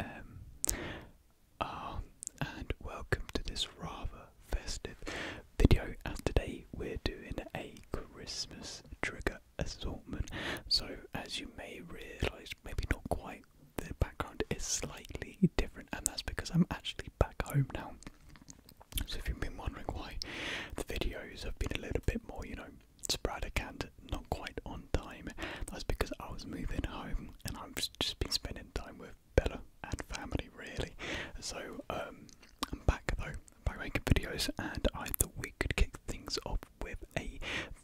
um, um, and welcome to this rather festive video. As today we're doing a Christmas trigger assortment. So, as you may realise, maybe not quite, the background is slightly different, and that's because I'm actually back home now. So, if you've been wondering why the videos have been a little bit more, you know, it's Sprada canned not quite on time. That's because I was moving home and I've just been spending time with Bella and family really. So um, I'm back though, back making videos, and I thought we could kick things off with a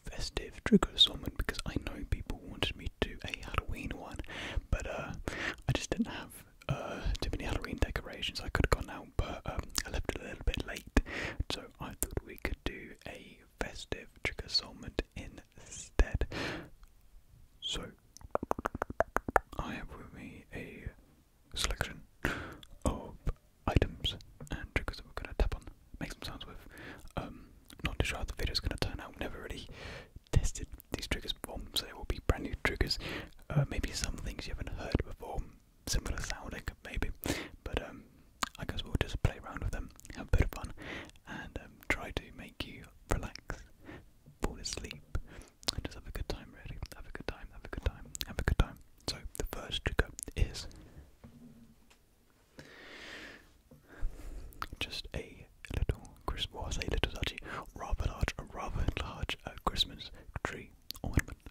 festive trigger assortment because I know people wanted me to do a Halloween one, but uh, I just didn't have uh, too many Halloween decorations. I could have gone out, but um, I left it a little bit late, so I thought we could do a festive trigger assortment instead. So, I have with me a selection of items and triggers that we're going to tap on, make some sounds with. Um, not too sure how the video is going to turn out, never really tested these triggers before, so they will be brand new triggers. Uh, maybe some things you haven't heard before, similar sounding, maybe, but um, I guess we'll just play around with them, have a bit of fun, and um, try to make you relax, fall asleep, and just have a good time, really. Have a good time, have a good time, have a good time. So, the first trigger is just a little Christmas, I say little, actually, rather large, rather large uh, Christmas tree ornament.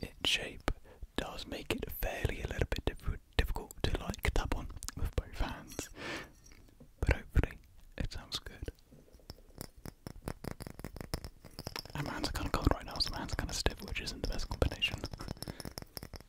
Its shape does make it fairly a little bit difficult to like tap on with both hands, but hopefully it sounds good. And my hands are kind of cold right now, so my hands are kind of stiff, which isn't the best combination. It's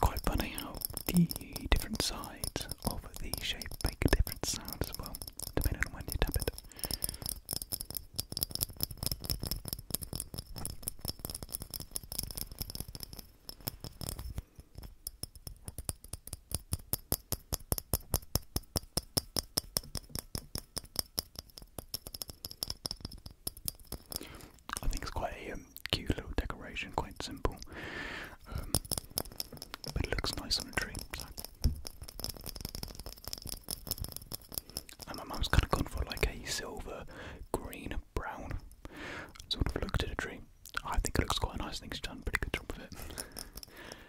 quite funny how the different sides of the shape make different sounds as well, depending on when you tap it. I think it's quite a um, cute little decoration, quite simple, um, but it looks nice on a tree and my mum's kind of gone for like a silver, green, brown sort of look to the tree. I think it looks quite nice. I done pretty good job with it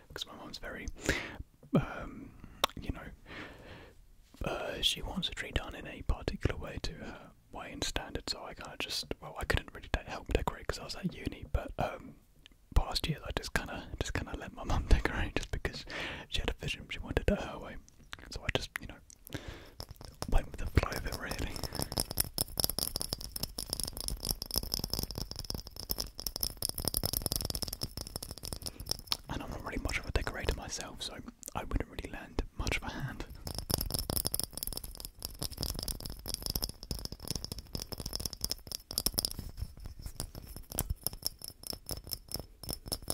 because my mum's very, um, you know, uh, she wants a tree done in a particular way to her way and standard. So I kind of just, well, I couldn't really help decorate because I was at uni, but um, past years I just kind of, just kind of let my mum decorate just because she had a vision. She wanted it her way. So I just, you know, went with the flow of it really. And I'm not really much of a decorator myself, so I wouldn't really lend much of a hand.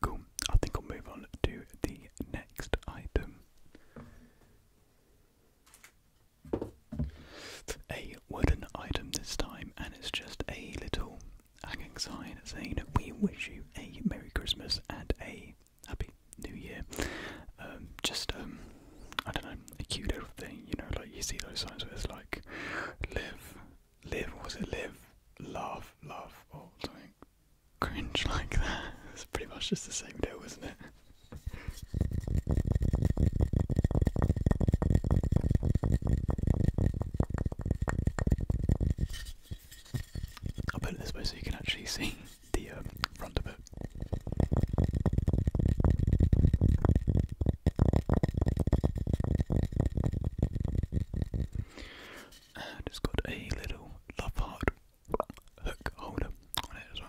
Cool. I think I'll move on to the next item. A wooden item this time, and it's just a little hanging sign saying we wish you a Merry Christmas and a Happy New Year. Um, just, um, I don't know, a cute little thing, you know, like you see those signs where it's like live, live was it live laugh laugh or something cringe like that it's pretty much just the same deal isn't it I'll put it this way so you can actually see the um, front of it. And it's got a little love heart hook holder on it as well.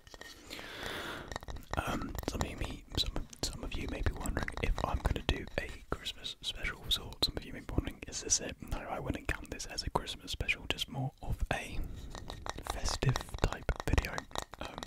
Um, some of you may, some some of you may be wondering if I'm going to do a Christmas special of Some of you may be wondering, is this it? No, I wouldn't count this as a Christmas special. Just more of a festive type video. Um,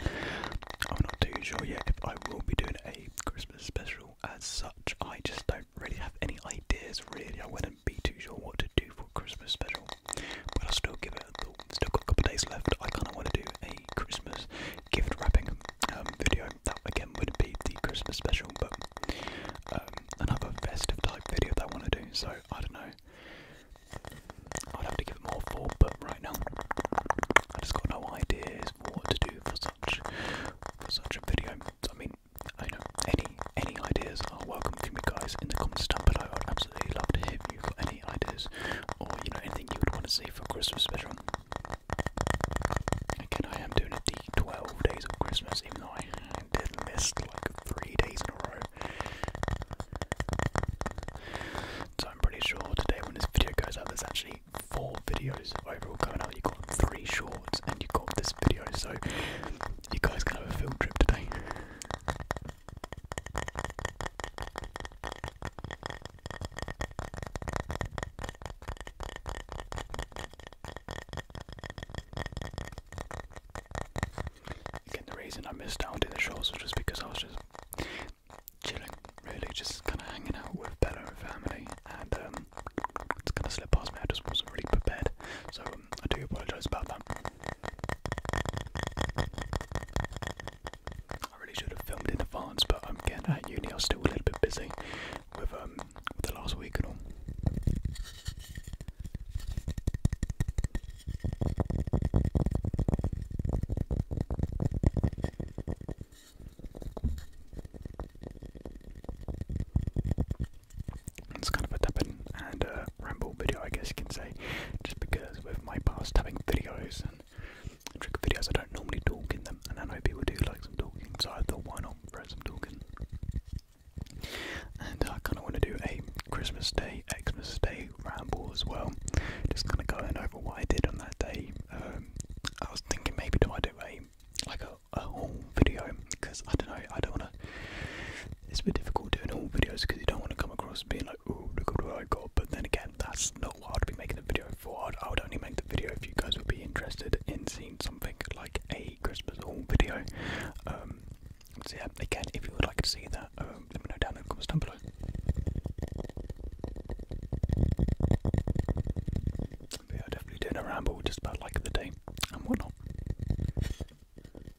I'm not too sure yet if I will be doing a Christmas special as such. I just don't really have any ideas. Really, I wouldn't be too sure what to do for Christmas special. But i still give it a thought. Still got a couple days left. I kind of want to do a Christmas gift wrapping um, video. That again would be the Christmas special, but um, another festive type video that I want to do. So I don't know. I'd have to give it more thought, but right now I just got no ideas what to do for such for such a video. I mean, I know any any ideas are welcome from you guys, in the comments down below. I'd absolutely love to hear you've got any ideas or, you know, anything you would want to see for Christmas special. Again, I am doing a 12 days of Christmas, even though I did not miss like three days in a row. So I'm pretty sure today, when this video goes out, there's actually four videos overall coming out. You got three shorts and you got this video, so you guys can have a field trip today. Again, the reason I missed out on the show was just because I was just chilling, really, just kind of hanging out with Bella and family, and um, it's kind of slipped past me. I just wasn't really prepared, so I do apologise about that. I really should have filmed in advance, but I'm getting at uni. I was still a little bit busy with um with the last week and all. It's kind of a tapping and a ramble video, I guess you can say, just because with my past tapping videos and trick videos, I don't normally talk in them, and I know people do like some talking, so I thought, why not throw some talking? And I kind of want to do a Christmas Day, Xmas Day ramble as well, just kind of going over what I did on that day. Um, I was thinking maybe do I do a like a whole video because I don't know I don't want to it's a bit difficult doing all videos because you don't want to come across being like, oh, look what I got. But then again, that's not what I'd be making the video for. I'd, only make the video if you guys would be interested in seeing something like a Christmas haul video. Um, so yeah, again, if you would like to see that, um, let me know down in the comments down below. But yeah, definitely doing a ramble just about like the day and whatnot.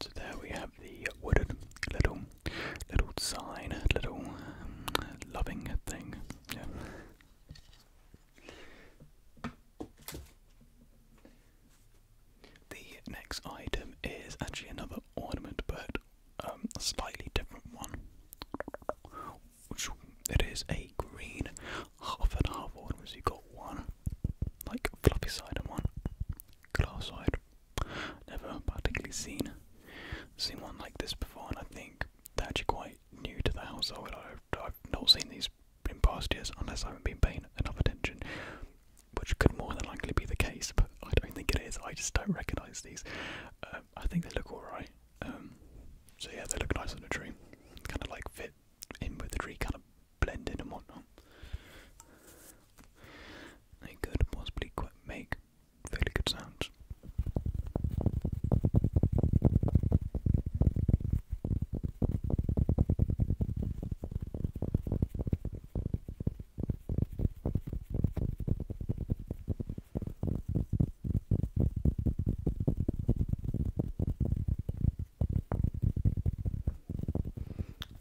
So there we have the wooden little, little sign, little um, loving thing. The next item is actually another ornament, but um, a slightly different one. It is a green half and half ornament. So you got one like a floppy side on one, glass side. Never particularly seen seen one like this before, and I think they're actually quite new to the household. I've, not seen these in past years unless I haven't been paying enough attention, which could more than likely be the case, but I don't think it is. I just don't recognise these. Um, I think they look alright. Um, so yeah, they look nice on a tree. Kind of like fit in with the tree, kind of blend in and whatnot. They could possibly quite make fairly good sounds.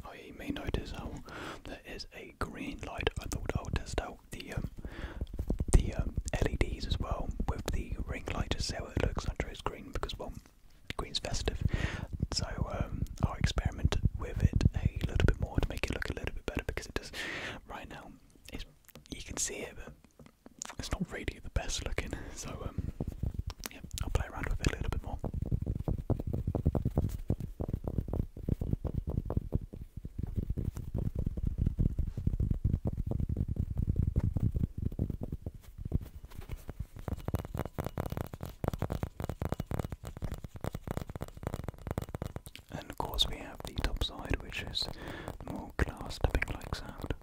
Oh, may notice how um, there is a green light. I thought I'll test out the um, the um, LEDs as well with the ring light to see what it looks like. under it's green because well, is festive. So I'll experiment with it a little bit more to make it look a little bit better because it does. Right now, it's, you can see it, but it's not really the best looking, so um, yeah, I'll play around with it a little bit more. And of course, we have the top side, which is more glass tapping like sound.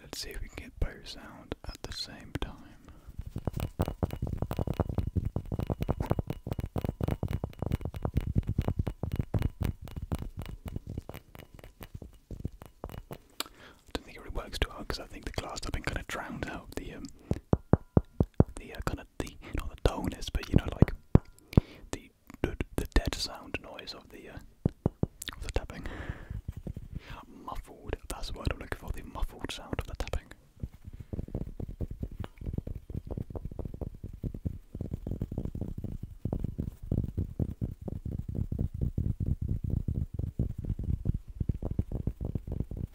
Let's see if we can get both sound at the same time. I don't think it works too hard because I think the glass up and kind of drowns out the um, the uh, kind of the not the dullness, but you know, like the the, the dead sound noise of the uh, of the tapping. muffled. That's what I'm looking for. The muffled sound of the tapping.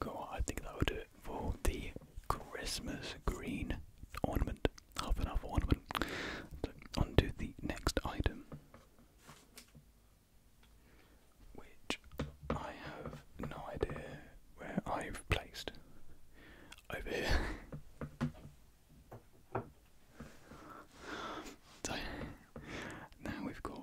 Cool, I think that would do it for the Christmas green ornament half an hour one of them. So, on the next item, which I have no idea where I've placed. Over here. so, now we've got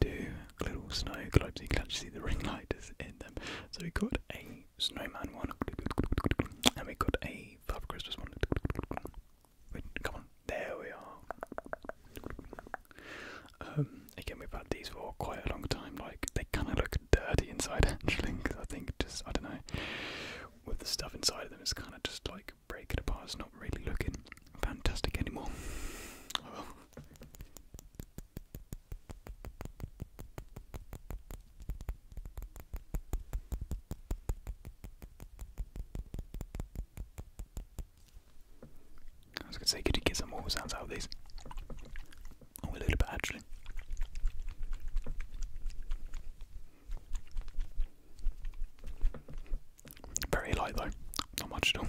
two little snow globes. You can actually see the ring lighters in them. So we've got a snowman one, and we got a five Christmas one. Wait, come on, there we are. Um, again, we've had these for quite a long time. Like they kind of look dirty inside, actually, because I think just I don't know, with the stuff inside of them, it's kind of just like breaking apart. It's not really looking fantastic anymore. I was gonna say, could you get some more sounds out of these? Oh, a little bit actually. Very light though, not much at all.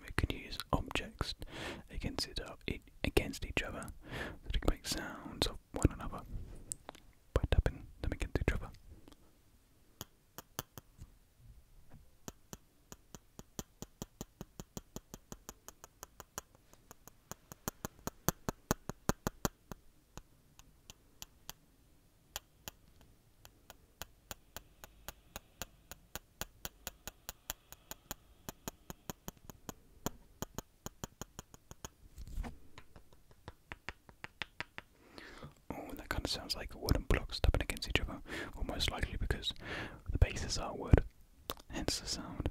We can use objects against each other so they can make sounds of one another by tapping them against each other. Oh, that kind of sounds like wooden blocks tapping against each other, Almost likely because the bases are wood, hence the sound.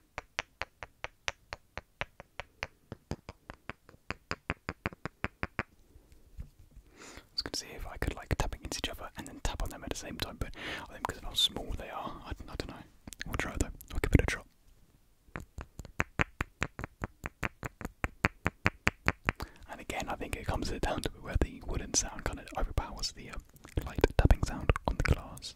I was going to see if I could like tap against each other and then tap on them at the same time, but I think because of how small they are, I, don't know. We'll try it though. I'll give a try. And again, I think it comes down to where the wooden sound kind of overpowers the uh, light tapping sound on the glass.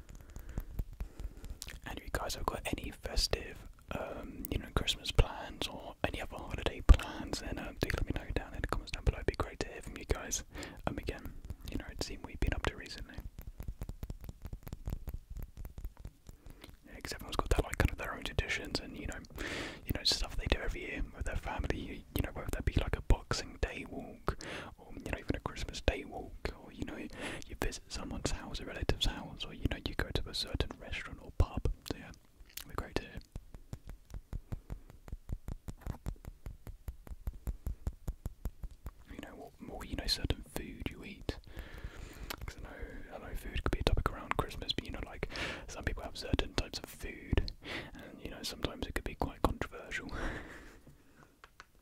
And you guys have got any festive, um, you know, Christmas plans or any other holiday plans, then uh, do let me know down in the comments down below. It'd be great to hear from you guys. And um, again, you know, it seems we've been up to recently. Yeah, everyone's got their like kind of their own traditions and you know, you know stuff they do every year with their family. You, you know, whether that be like a Boxing Day walk or you know even a Christmas day walk, or you know you visit someone's house, a relative's house, or you know you go to a certain restaurant or pub. yeah, we're to You know what you know certain food you eat. I know, I know food could be a topic around Christmas, but you know like some people have certain types of food, and you know sometimes it could be quite controversial.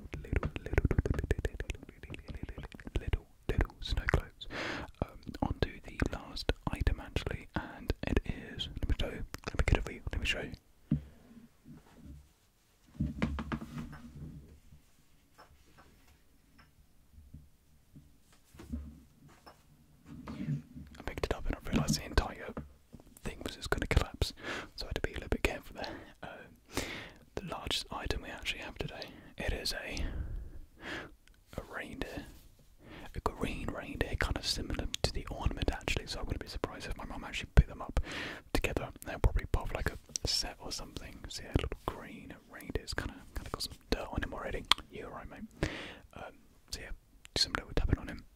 little, little, little, little, little, little snow globes. Um, onto the last item actually, and it is. Let me show. You, let me get it for you. Let me show you. I picked it up and I realised the entire thing was just going to collapse, so I had to be a little bit careful there. Um, the largest item we actually have today it is a a reindeer, a green reindeer, kind of similar to the ornament actually. So I wouldn't be surprised if my mum actually picked them up together. They're probably part of like a set or something. See, so yeah, a little green reindeer, kind of kind of got some dirt on him already. You're right, mate. Um, so yeah, similar on him.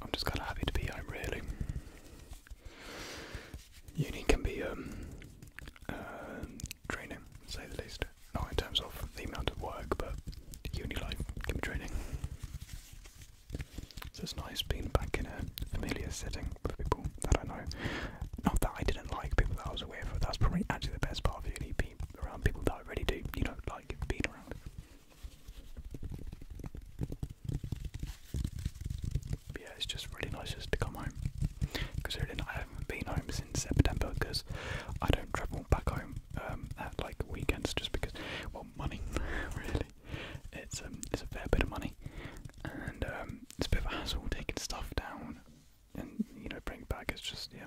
I'm just kind of happy to be here, really uni can be um, um training, say the least. Not in terms of the amount of work, but uni life can be training. So it's nice being back in a familiar setting with people that I know. Not that I didn't like people that I was aware of, that's probably actually the best part of uni, being around people that I really do, you know, like being around yeah, it's just really nice just to come home. Because really, I haven't been home since September because I don't travel back home um, at like weekends just because, well, money really. It's um, it's a fair bit of money, and um, it's a bit of a hassle taking stuff down and you know bring back. It's just yeah.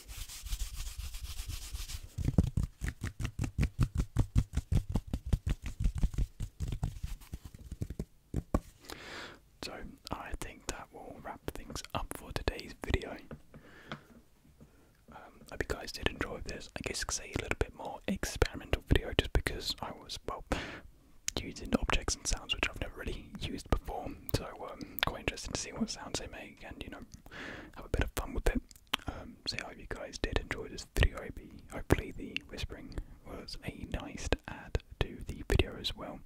So, I think that will wrap things up for today's video. Um, hope you guys did enjoy this. I guess it's a little bit more experimental video just because I was, well, using objects and sounds which I've never really used before. So, um, quite interesting to see what sounds they make and you know have a bit of fun with it. Um, See how you guys did enjoy this video. I hope hopefully the whispering was a nice add to the video as well.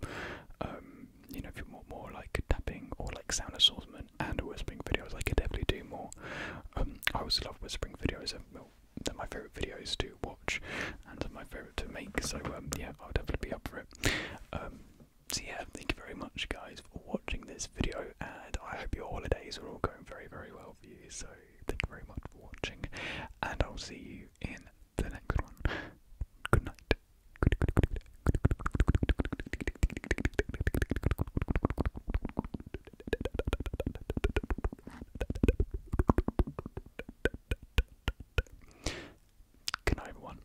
Um, you know, if you want more like tapping or like sound assortment and whispering videos, I could definitely do more. Um, I also love whispering videos. And, they're my favourite videos to watch and my favourite to make. So yeah, I'll definitely be up for it so yeah, thank you very much guys for watching this video and I hope your holidays are all going very very well for you. So thank you very much for watching and I'll see you in the next one. Good night. Good, night everyone.